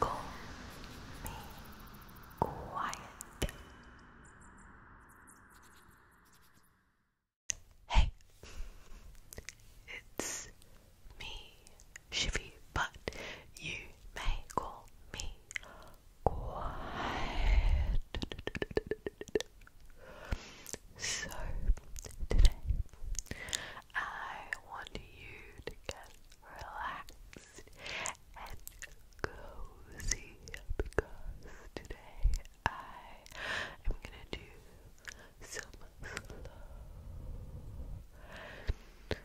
Go be quiet. Hey, it's me, Shivy, but you may call me quiet. So, today I want you to get relaxed and cozy because today I am gonna do some slow breathing in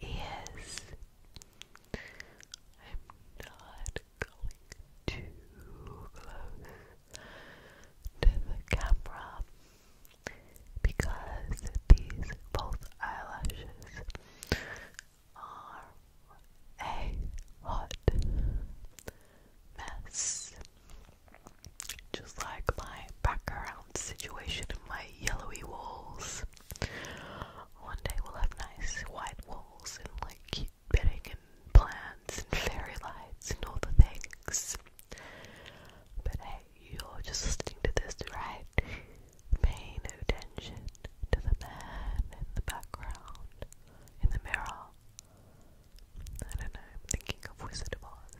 Yes, I'm not going too close to the camera because these false eyelashes are a hot mess. Just like my background situation and my yellowy walls. One day we'll have nice white walls and like cute bedding and plants and fairy lights and all the things. But hey, you're just listening to this, right? Pay no attention to the man in the background, in the mirror, I don't know, I'm thinking of Wizard of Oz.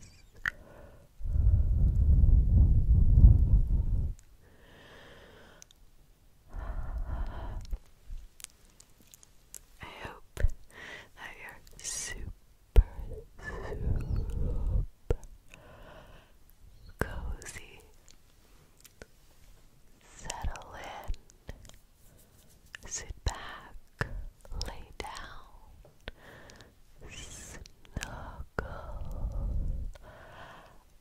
I hope that you're super, cozy. Settle Sit back, lay down, snuggle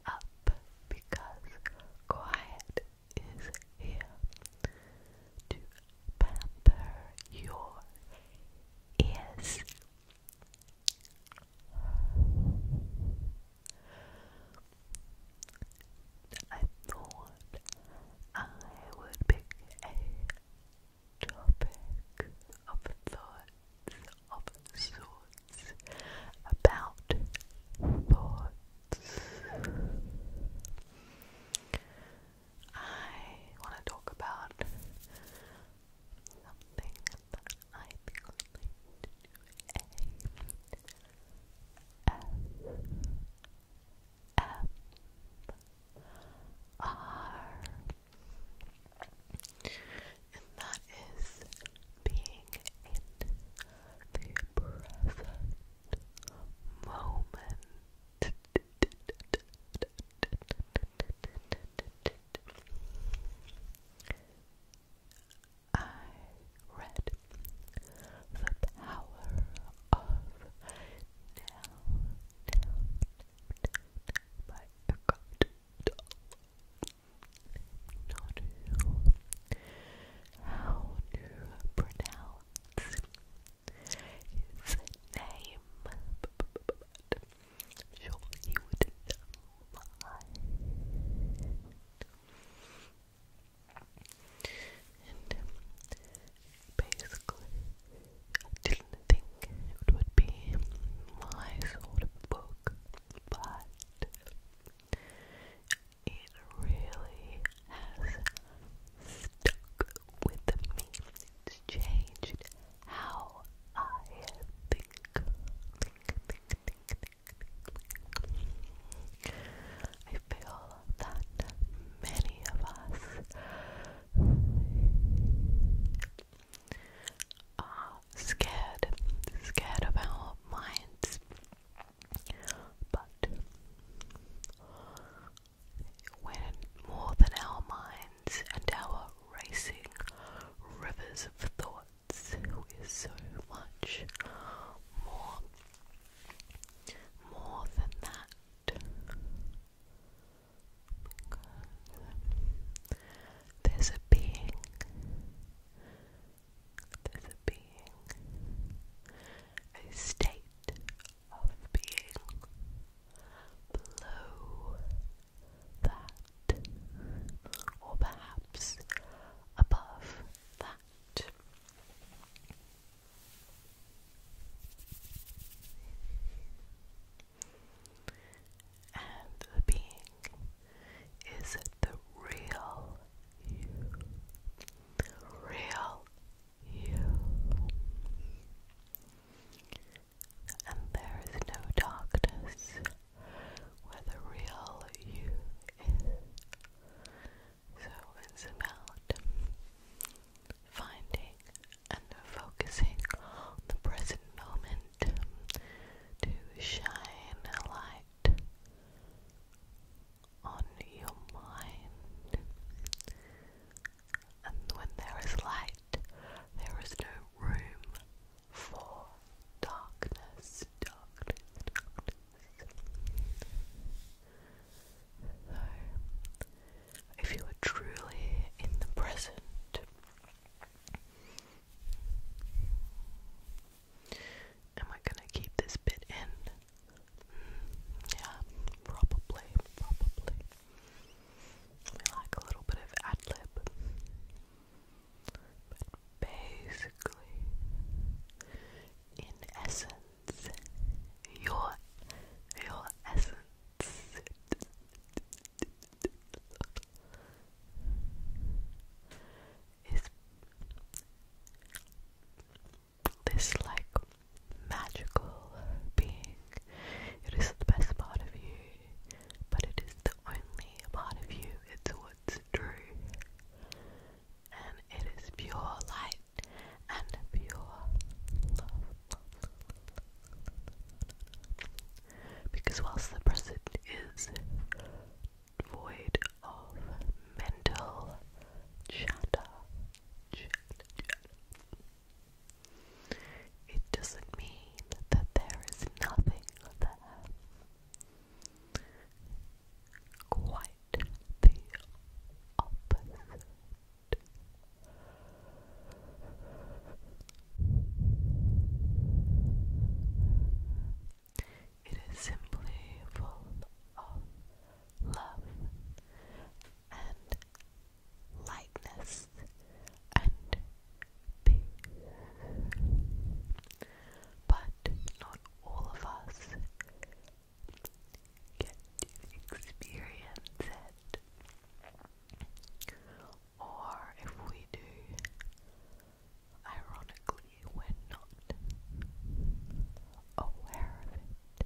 up because quiet is here to pamper your ears. I thought I would pick a topic of thoughts of sorts about thoughts. I want to talk about something that I think I to do R. And that is being in the present moment. I read The Power of but you got not know how to pronounce name, but you would know mine basically, I didn't think it would be my sort of book, but it really has stuck with me. It's changed how I think. I feel that many of us are uh, scared, scared of our minds. But when more than our minds and our racing rivers of thoughts, we're so much more, more than that because there's a being, there's a being, a state of being below that, or perhaps above that. And the being is the real you. real you. And there is no darkness where the real you is. So it's about finding and focusing on the present moment to shine a light on your mind. And when there is light, there is no room for darkness, if you are truly in the present. Am I gonna keep this bit in? Mm, yeah, probably, probably. We like a little bit of ad lib. But basically, in essence, your your essence is this like magical being. It is the best part of you, but it is the only part of you. It's what's true. And it is pure light and pure love. Because whilst the present is void of mental chatter, it doesn't mean that there is nothing there. Quite the opposite. It is simply full of love and lightness and peace. But not all of us get to experience it, or if we do, ironically, we're not aware of it.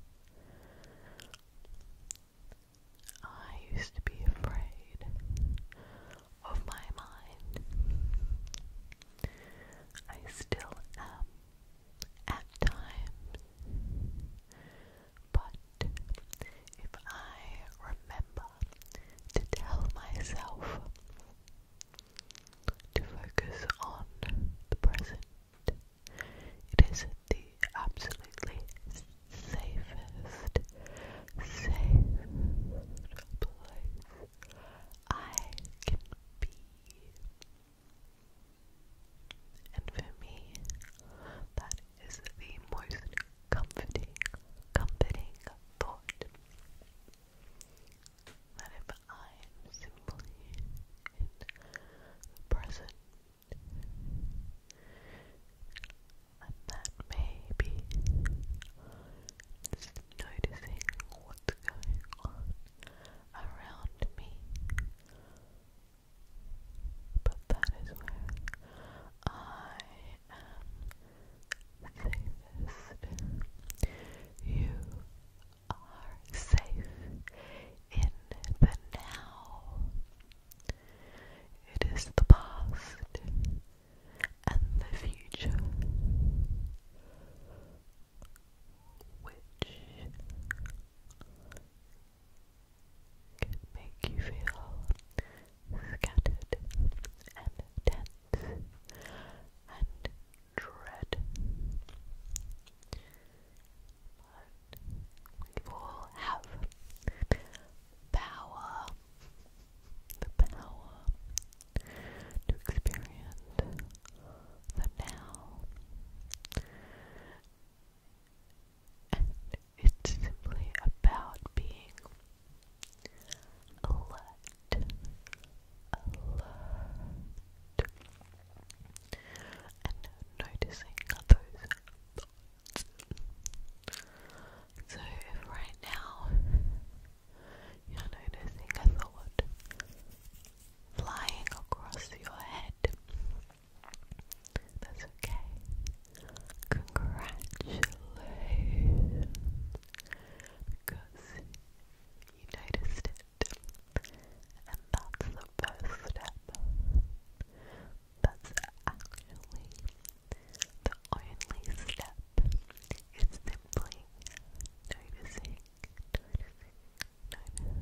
I used to be afraid of my mind. I still am at times. But if I remember to tell myself to focus on the present, it is the absolutely safest, safe place I can be. And for me, that is the most comforting, thought that if I am simply in the present, and maybe just noticing what's going on around me but that is where I am safest. You are safe in the now. It is the past and the future which can make you feel scattered and tense and dread. we all have power, the power to experience the now it's simply about being alert, alert, and noticing those So, if right now you're noticing a thought flying across your head, that's okay. Congratulations. Because you noticed it. And that's the first step. That's actually the only step. It's simply noticing, no,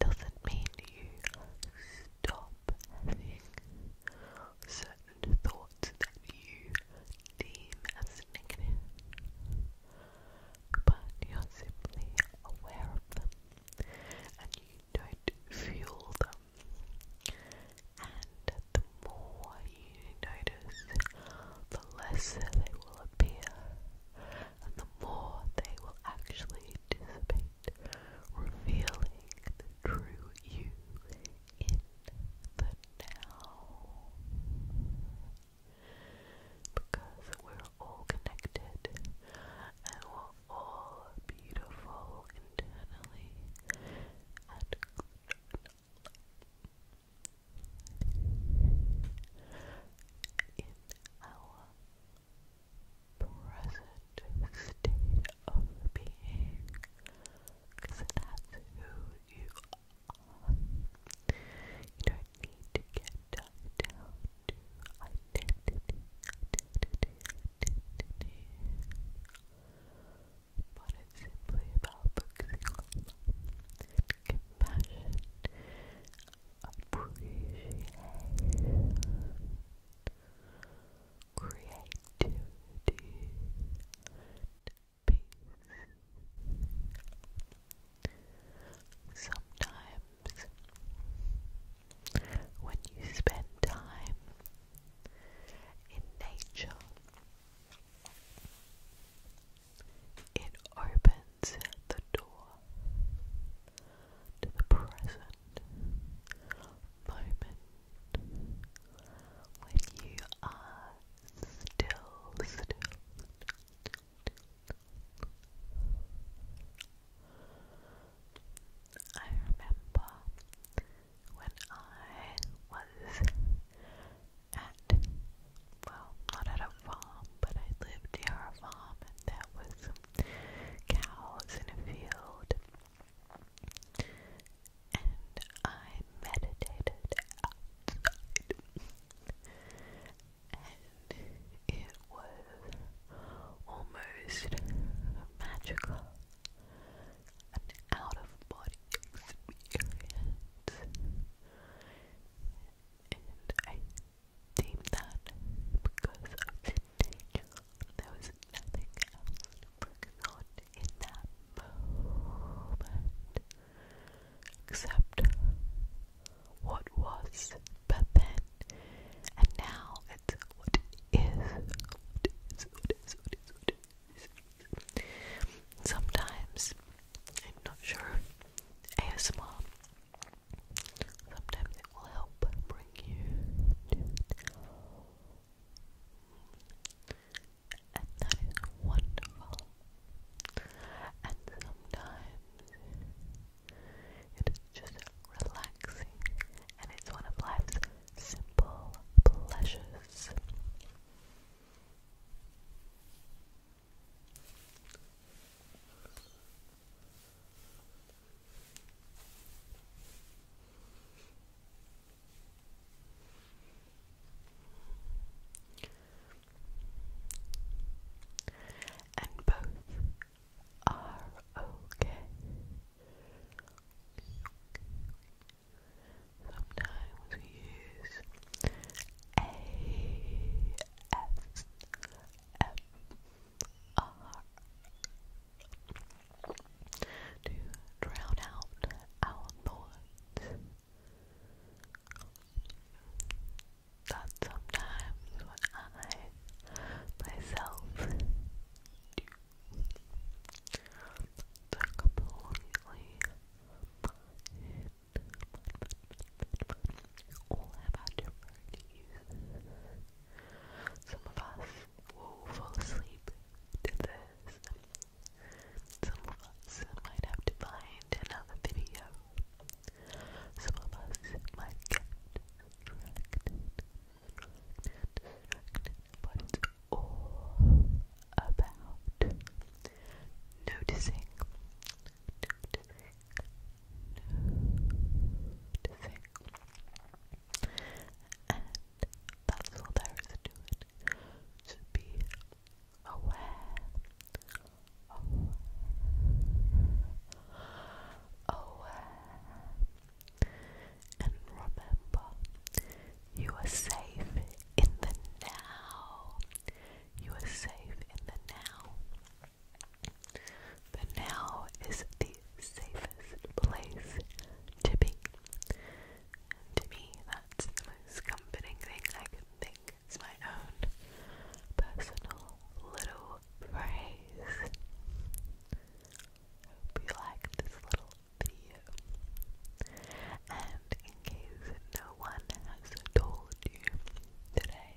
doesn't mean you stop having certain thoughts that you deem as negative, but you're simply aware of them and you don't fuel them. And the more you notice, the less they will appear and the more they will actually dissipate, revealing the true you in the now. Because we're all connected and we're all beautiful internally and in our present state of being that's who you are. You don't need to get tied down to identity, identity, identity. But it's simply about compassion, appreciation, creativity, peace. Sometimes, when you spend time in nature, it opens at the door the present moment when you are still, still. I remember when I was at well, not at a farm, but I lived near a farm and there was cows in a field. And I meditated and it was almost magical. An out of body experience. And I that because there was nothing going on in that moment except what was but then and now it's what is what is what is what is what is, sometimes I'm not sure ASMR Sometimes it will help bring you and that is wonderful. And sometimes it is just relaxing, and it's one of life's simple pleasures. And both are okay. Sometimes we use ASMR to drown out our thoughts that sometimes when I myself do completely all have our different uses. Some of us will fall asleep to this. Some of us might have to find another video. Some of us might get distracted, distracted, all about noticing, to And that's all there is to it. To be aware, aware, and remember you are safe in the now. You are safe in the now. But now is the safest place to be. to me, that's the most comforting thing I can think. It's my own personal little phrase. Hope you liked this little video. And in case no one has told you today,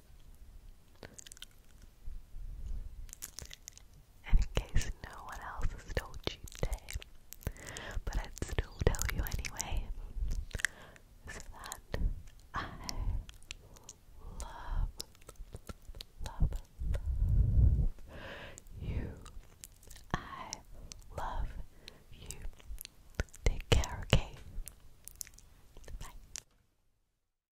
And in case no one else is told cheap today, but I'd still tell you anyway, is that I love, love you. I love you. Take care, okay? Bye.